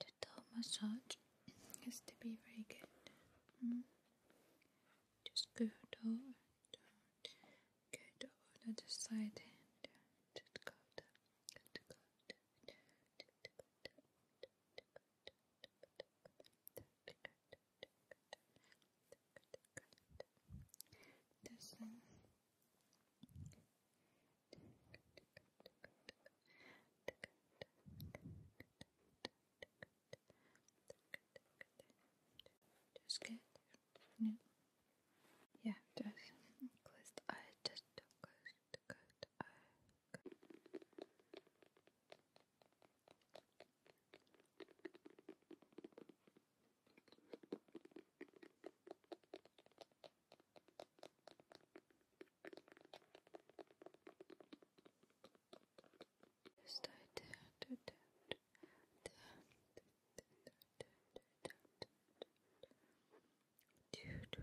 The toe massage has to be very good. Just go over, don't to the other side. Don't, don't this one. Just get Yeah, just close the eye, just don't close good. Uh, Just I did, did, did, did, did, Pew, pew.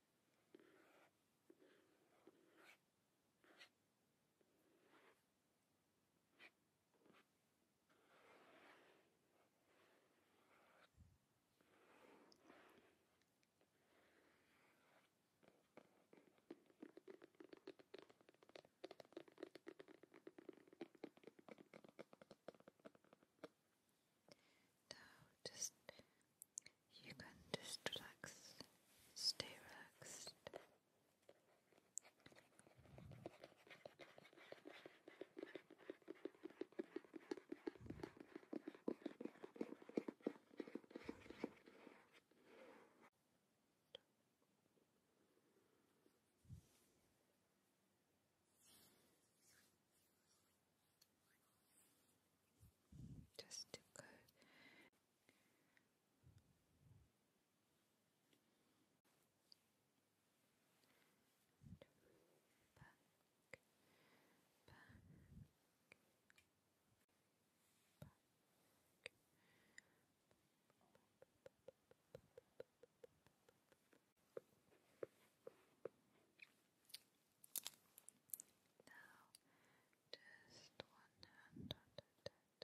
Now just you can just relax, stay relaxed just to good. Now, just one hand on the head. Now,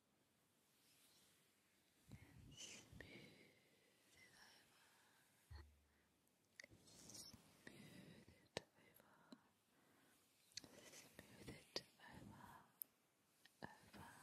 and smooth it over, smooth it over, smooth it over, over.